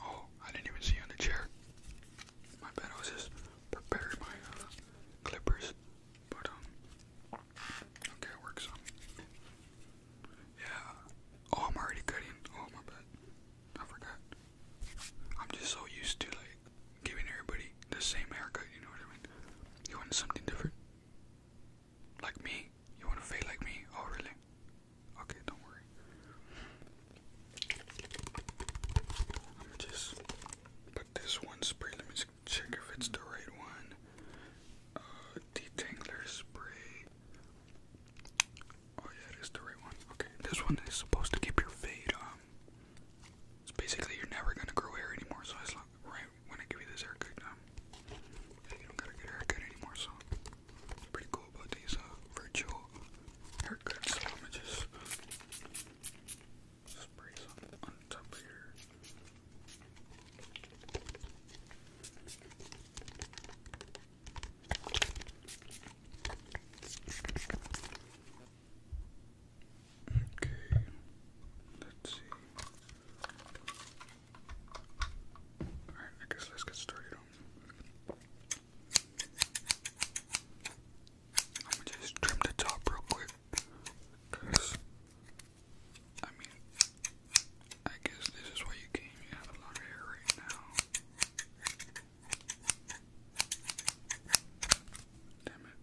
Oh, I didn't even see you on the chair. My bad, was just preparing my uh, clippers, but um, Okay, it works. Yeah. Oh, I'm already cutting. Oh, my bad. I forgot. I'm just so used to like giving everybody the same haircut. You know what I mean? You want something different? Like me? You want to fade like me? Oh, really? Okay, don't worry. I'm just put this one spray. Let me check if it's the right one. Uh, detangler spray. Oh yeah, it is the right one. Okay, this one is supposed to keep your fade. Um, basically you're never gonna grow hair anymore. So as long, right when I give you this haircut, um, you don't gotta get haircut anymore. So pretty cool about these uh, virtual haircuts. I'm just Okay, let's see. Alright, I guess let's get started on. i just trim the top real quick I mean, I guess this is why you came. You have a lot of hair right now. Damn it.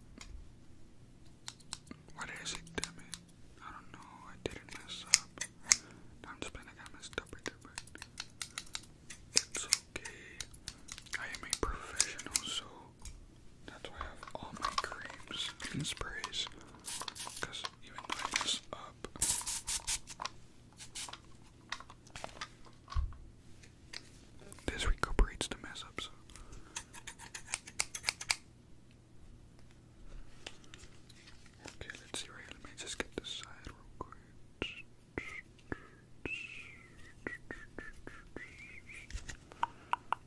What is it? Damn it. I don't know. I didn't mess up. I'm just playing. I got messed up right there, but it's okay. I am a professional, so that's why I have all my creams and sprays. Because even though mess up, this recuperates the mess ups. Okay, let's see Let me just get this side real quick.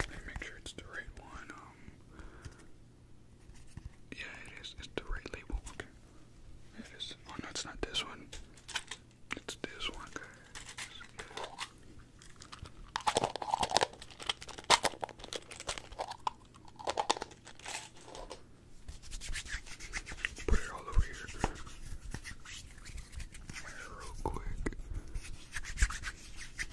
make sure it's the right one. Um, yeah, it is. It's the right label. It is. Oh no, it's not this one. It's this one, Put it all over here. Yeah, just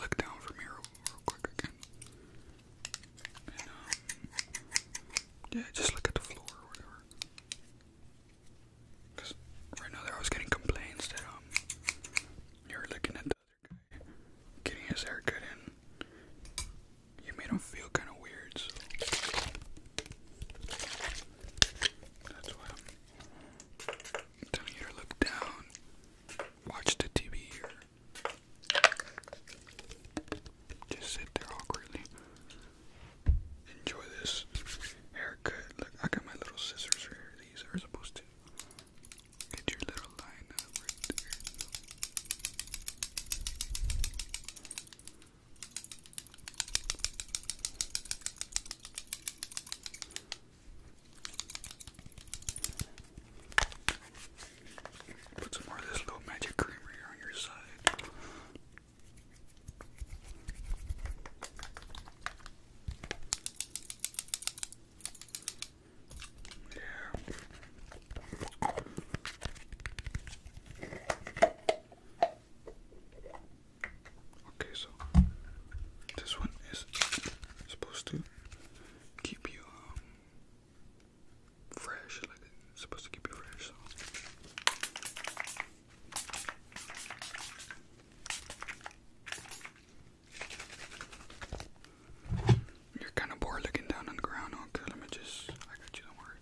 look down from here real, quick um, yeah, just look at the floor whatever. right now there I was getting complaints that um, you're looking at the getting his hair cut, in. You made him feel kind of weird, that's why I'm to look down, watch the TV, or just sit there awkwardly. Enjoy this haircut. Look, I got my little scissors right These are supposed to Get your little line up Put some more of this little magic creamer here on your side. Yeah. Okay, so this one is supposed to keep you um, fresh, like supposed to keep you fresh. You're kind of bored looking down on the ground. Okay, let me just. I got you, don't worry.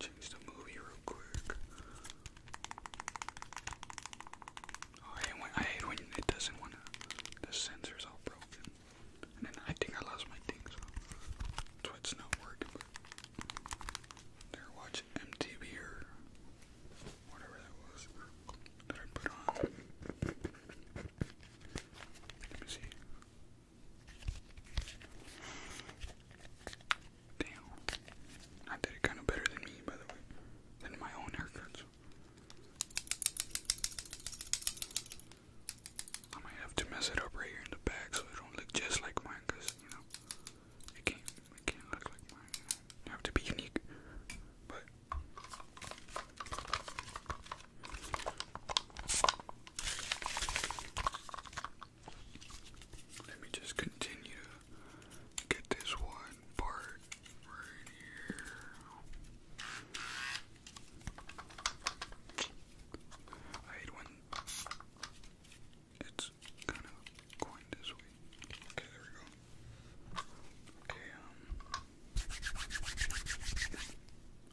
Change the movie real quick. Oh, I, I when it doesn't want to. The sensor's all broken. And then I think I lost my thing, so not working. But they MTV or whatever that was that I put on. Let me see. Damn. I did it kind of better than me, by the way, than my own haircuts. I might have to mess it up right here in the back so it don't look just like mine, cause you know, it I can't look like mine. You have to be unique. But let me just continue to get this one part right here. I hate when it's kind of coin this week. Okay, there we go. Okay, um,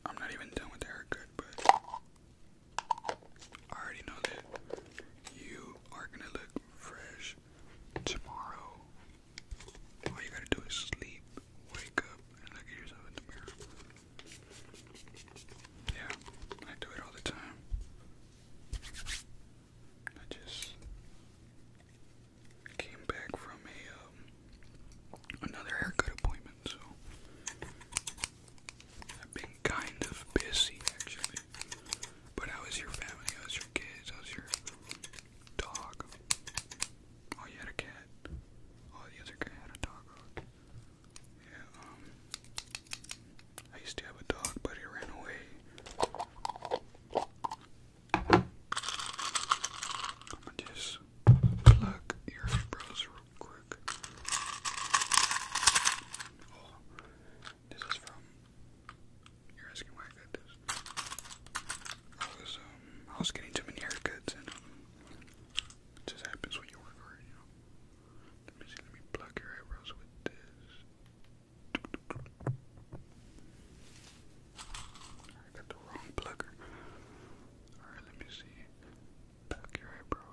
I'm not even done with the haircut, but I already know that you are gonna look fresh tomorrow. All you gotta do is sleep, wake up, and look at yourself in the mirror. Yeah, I do it all the time. I just came back from a um, another haircut appointment, so I've been kind of busy actually. But how is your family? How's your kids? How's your dog? Oh, you had a cat. Oh, the other guy had a dog. yeah. Um, I used to have a dog, but he ran away. I'm gonna just plug your eyebrows real quick. Oh, this is from. You're asking why I got this. I was um, I was getting too many haircuts, and um, it just happens when you work hard, you know. Let me see. Let me plug your eyebrows with this. I got the wrong plugger. Alright, let me see. Back your eyebrow,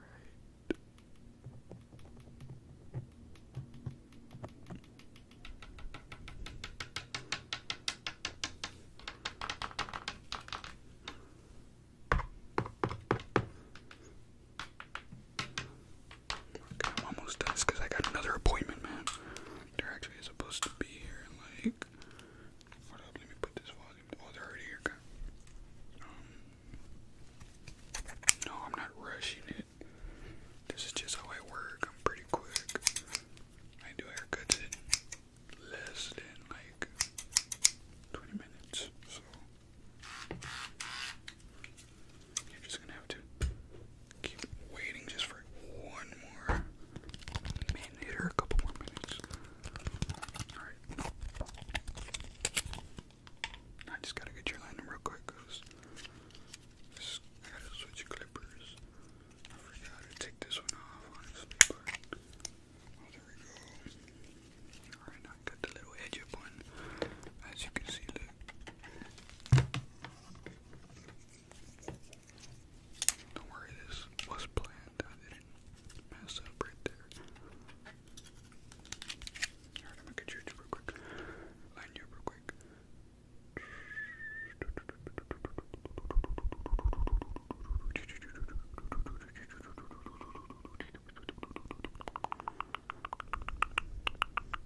right? Okay, I'm almost done because I got another appointment, man. They're actually supposed to be here in like. Hold up, let me put this volume. Oh, they're already here. Okay. Um, no, I'm not rushing it. This is just how I work. I'm pretty quick. I do haircuts in less than like 20 minutes. So you're just gonna have to keep waiting just for one more minute or a couple more minutes. Alright. I just gotta get your landing real quick because I gotta switch clippers. I forgot to take this one off, oh, there we go. Alright, now got the little edge up one. As you can see, look. Don't worry, this was planned. I didn't mess up right there. Alright, I'm gonna get you real quick. Line you real quick.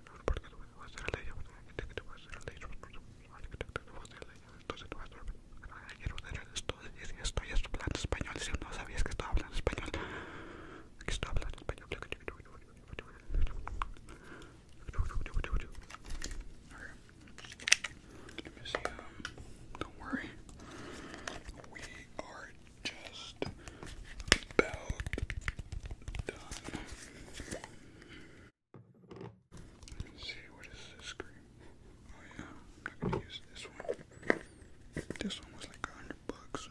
estoy hablando español, si no sabías que estaba hablando español, que estoy hablando español. Okay. Let me see. Um, don't worry, we are just about done. Let's see, what is this cream? Oh yeah, not gonna use this one. This one was like a hundred bucks,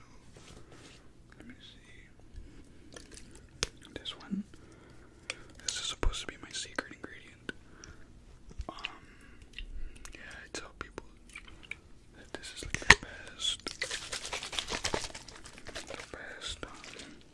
let me see. This one, this is supposed to be my secret ingredient. Um, yeah, I tell people that this is like the best, the best um,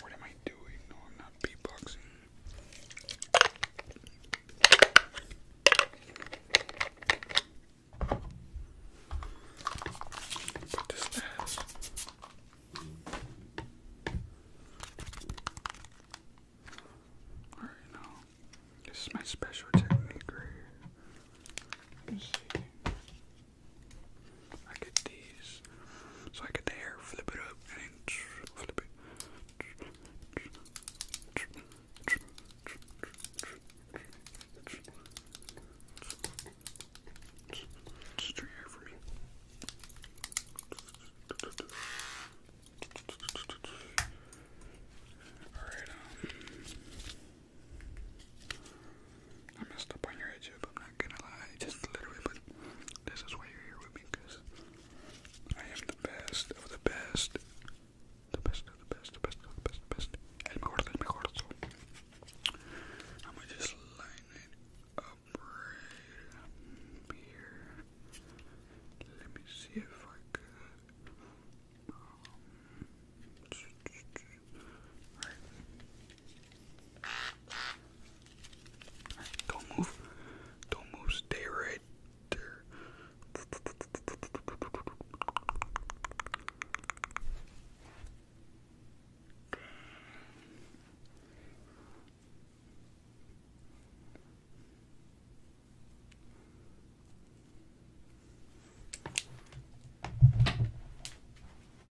What am I doing? No, I'm not beatboxing. Put this last. Alright, now, this is my special technique right here. Let's see. I get these. So I get the hair, flip up, for me. Alright, um, I messed up on your headship, I'm not gonna lie, just a little bit, but this is why you're here with me, I am the best of the best. The best of the best, the best of the best, the best. El mejor del mejor, so I'm gonna just line up right here. Let me see if I could. Um, Don't move. Don't move. Stay right there.